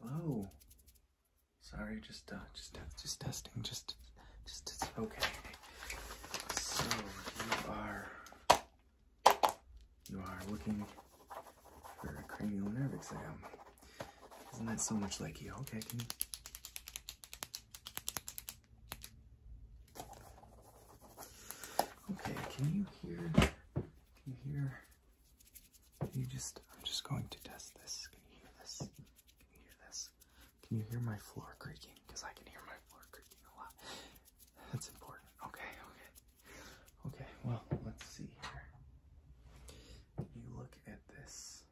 Hello. Sorry, just uh, just uh, just testing. Just, just it's okay. So you are you are looking for a cranial nerve exam. Isn't that so much like you? Okay, Okay, can you hear? Can you hear? Can you just, I'm just going to test this. Can you hear this? Can you hear this? Can you hear my floor creaking? Because I can hear my floor creaking a lot. That's important. Okay, okay. Okay, well, let's see here. You look at this.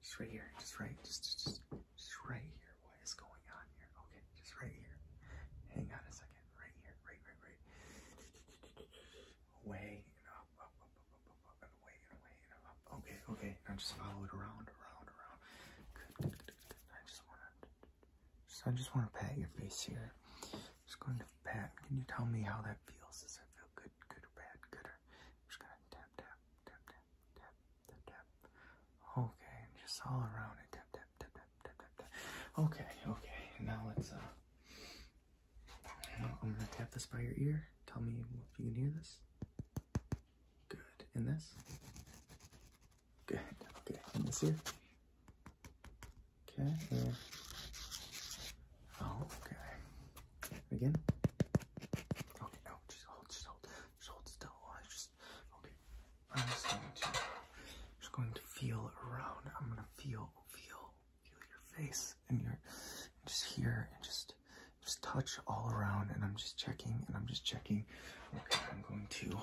Just right here. Just right. just, just. Just right here. What is going on here? Okay, just right here. Hang on a second. Right here. Right, right, right. Away and up, Okay, okay. Now just follow it around, around, around. Good. I just wanna just I just wanna pat your face here. Just going to pat. Can you tell me how that feels? Does it feel good, good or bad, good or I'm just gonna tap, tap, tap, tap, tap, tap, tap. Okay, just all around it. Tap, tap, tap, tap, tap, tap, Okay, okay. Now let's uh. I'm gonna tap this by your ear. Tell me if you can hear this. Good. In this. Good. Okay. In this here. Okay. And... okay. Again. Okay. No. Just hold. Just hold. Just hold still. I just okay. I'm just going to just going to feel around. I'm gonna feel, feel, feel your face and you're just here and just just touch all around. And I'm just checking and I'm just checking. Okay, I'm going to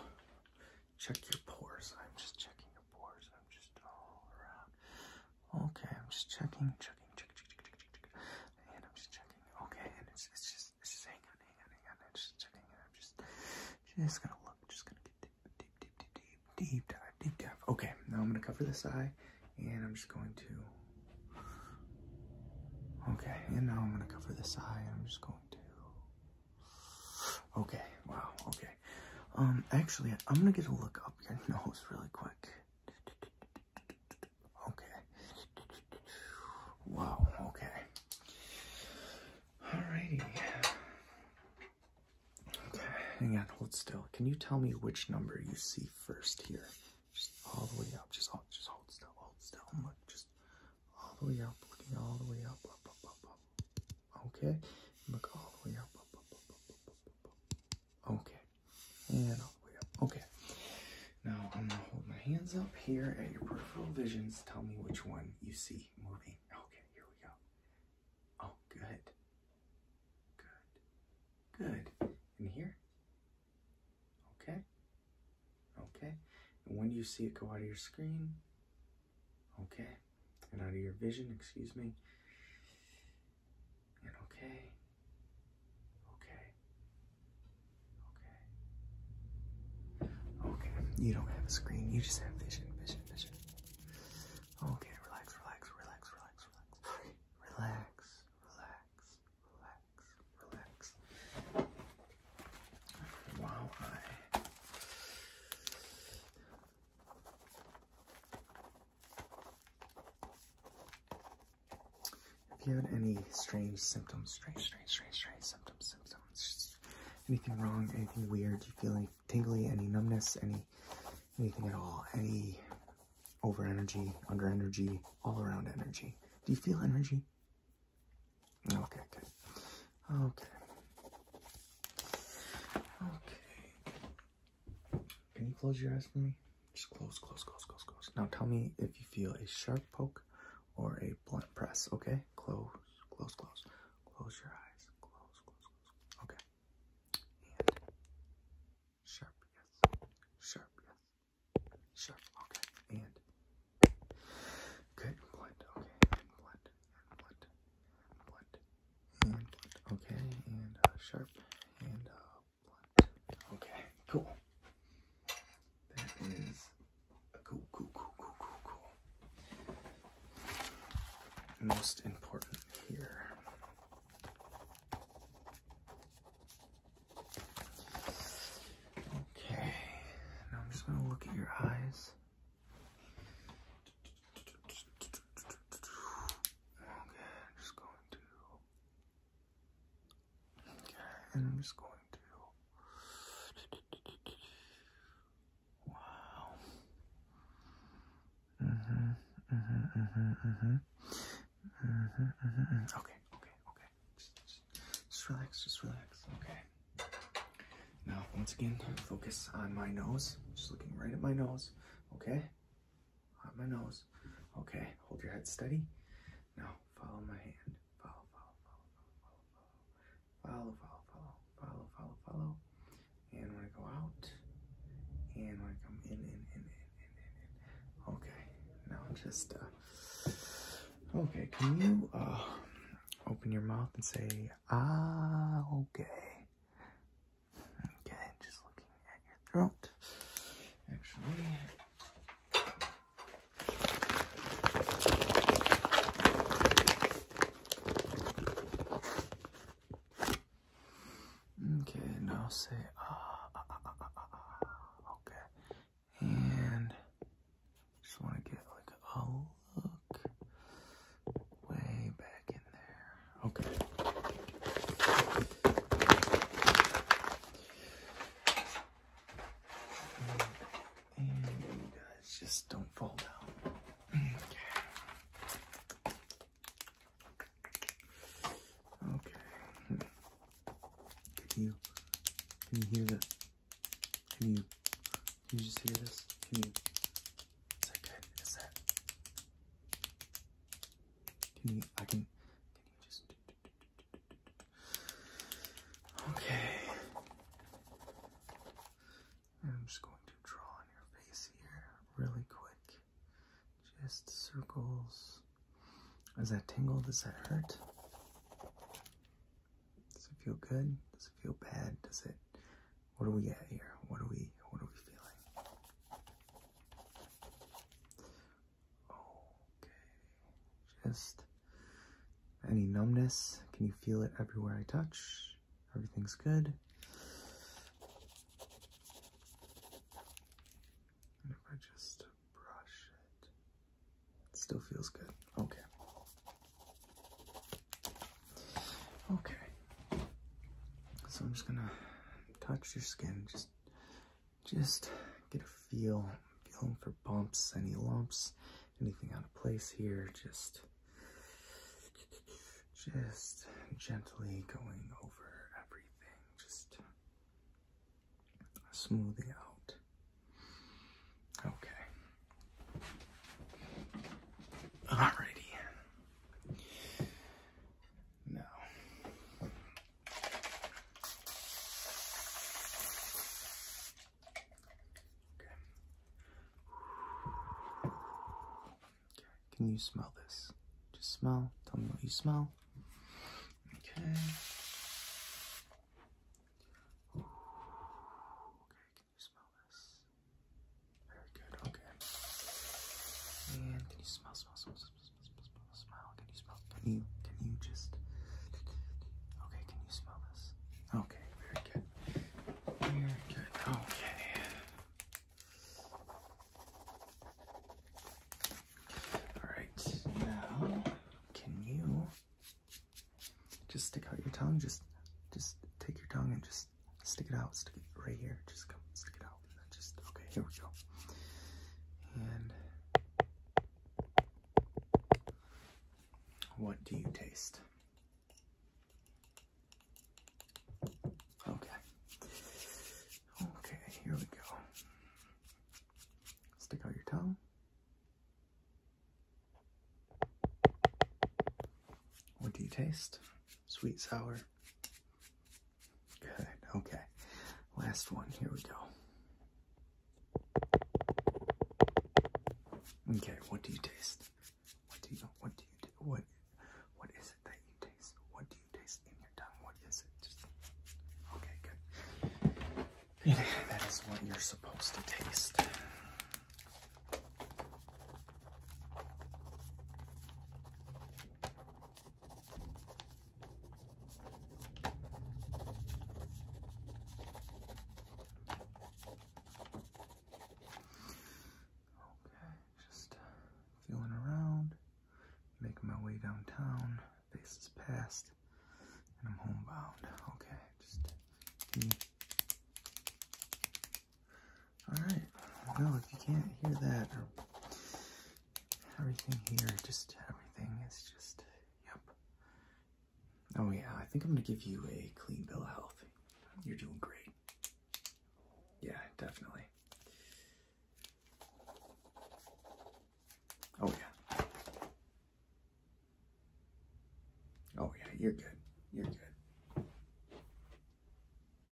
check your pores. I'm just checking your pores. I'm just all around. Okay, I'm just checking, checking, check, check, check, check, check, check and I'm just checking. Okay, and it's it's just it's just hanging, on, hang on, hang on. I'm just checking, and I'm just just gonna look, just gonna get deep, deep, deep, deep, deep dive, deep dive. Okay, now I'm gonna cover this eye, and I'm just going to. Okay, and now I'm gonna cover this eye, and I'm just going to. Okay, wow, okay. Um, actually, I'm gonna get a look up your nose really quick. Okay. Wow, okay. Alrighty. Okay, hang on, hold still. Can you tell me which number you see first here? Just all the way up. Just hold, just hold still, hold still. Look, just all the way up, looking all the way up, Okay, look all the way up. Okay, and all the way Okay. Now I'm gonna hold my hands up here at your peripheral visions. Tell me which one you see moving. Okay, here we go. Oh, good. Good. Good. And here. Okay. Okay. And when you see it go out of your screen? Okay. And out of your vision, excuse me. And okay. Okay. Okay. Okay. You don't have a screen. You just have vision, vision, vision. Okay. Relax, relax, relax, relax, relax. Relax, relax, relax, Wow, if you have any strange symptoms, strange, strange, strange, strange symptoms, symptoms, anything wrong, anything weird, you feel any tingly, any numbness, any anything at all, any over energy, under energy, all around energy. Do you feel energy? Okay, good. Okay. Okay. Can you close your eyes for me? Just close, close, close, close, close. Now tell me if you feel a sharp poke or a blunt press, okay? Close, close, close. Close your eyes. Close, close, close. Okay. And sharp, yes. Sharp, yes. Sharp, okay. And good. Blunt, okay. And blunt, and blunt, and blunt, and blunt. Okay. And uh, sharp, and uh, Okay, cool. That is cool, cool, cool, cool, cool, cool. Most important here. Okay, I'm just going to look at your eyes. Okay, I'm just going to Okay, and I'm just going to. Wow. Mhm. Mhm. Mhm. Mhm. Mhm. Mhm. Okay. Okay. Okay. just relax. Just relax. Okay. Now, once again, focus on my nose. Just looking right at my nose. Okay on my nose. Okay, hold your head steady. Now follow my hand. Follow, follow, follow, follow, follow, follow, follow, follow, follow, follow, follow. And when I go out, and when I come in, in, in, in, in, in, in. Okay, now just uh. Okay, can you uh open your mouth and say ah? Okay. Okay, just looking at Actually, Okay, now say ah, ah, ah, ah, ah, ah, ah. Okay, and just want to get like a look way back in there. Okay. And you guys just don't fall down. Okay. Okay. Can you can you hear that? Can you can you just hear this? Can you is that good? Is that can you I can Okay. I'm just going to draw on your face here really quick. Just circles. Does that tingle? Does that hurt? Does it feel good? Does it feel bad? Does it what do we get here? What are we what are we feeling? Okay, just any numbness? Can you feel it everywhere I touch? Everything's good. if I just brush it still feels good. Okay. Okay. So I'm just gonna touch your skin, just just get a feel, feeling for bumps, any lumps, anything out of place here. Just, just gently going over everything. Just smoothing out. Okay. Alrighty. No. Okay. Okay, can you smell this? Just smell. Tell me what you smell. Okay. Okay, can you smell this? Very good, okay. And can you smell, smell, smell, Smile. Can you smell? Can you? Can you just? Okay. Can you smell this? Okay. Very good. Very good. Okay. All right. Now, can you just stick out your tongue? Just, just take your tongue and just stick it out. Stick it right here. Just come. Stick it out just okay. Here we go. And what do you taste? Okay. Okay. Here we go. Stick out your tongue. What do you taste? sweet sour. Good. Okay. Last one. Here we go. Okay. What do you taste? What do you? What do you? What? What is it that you taste? What do you taste in your tongue? What is it? okay. Good. that is what you're supposed to taste. Okay, just uh, feeling around, making my way downtown, faces past, and I'm homebound. Okay, just hmm. Alright, well, if you can't hear that or everything here, just everything is just, yep. Oh, yeah, I think I'm gonna give you a clean bill of health. You're doing great. Yeah, definitely. Oh, yeah. Oh, yeah, you're good. You're good.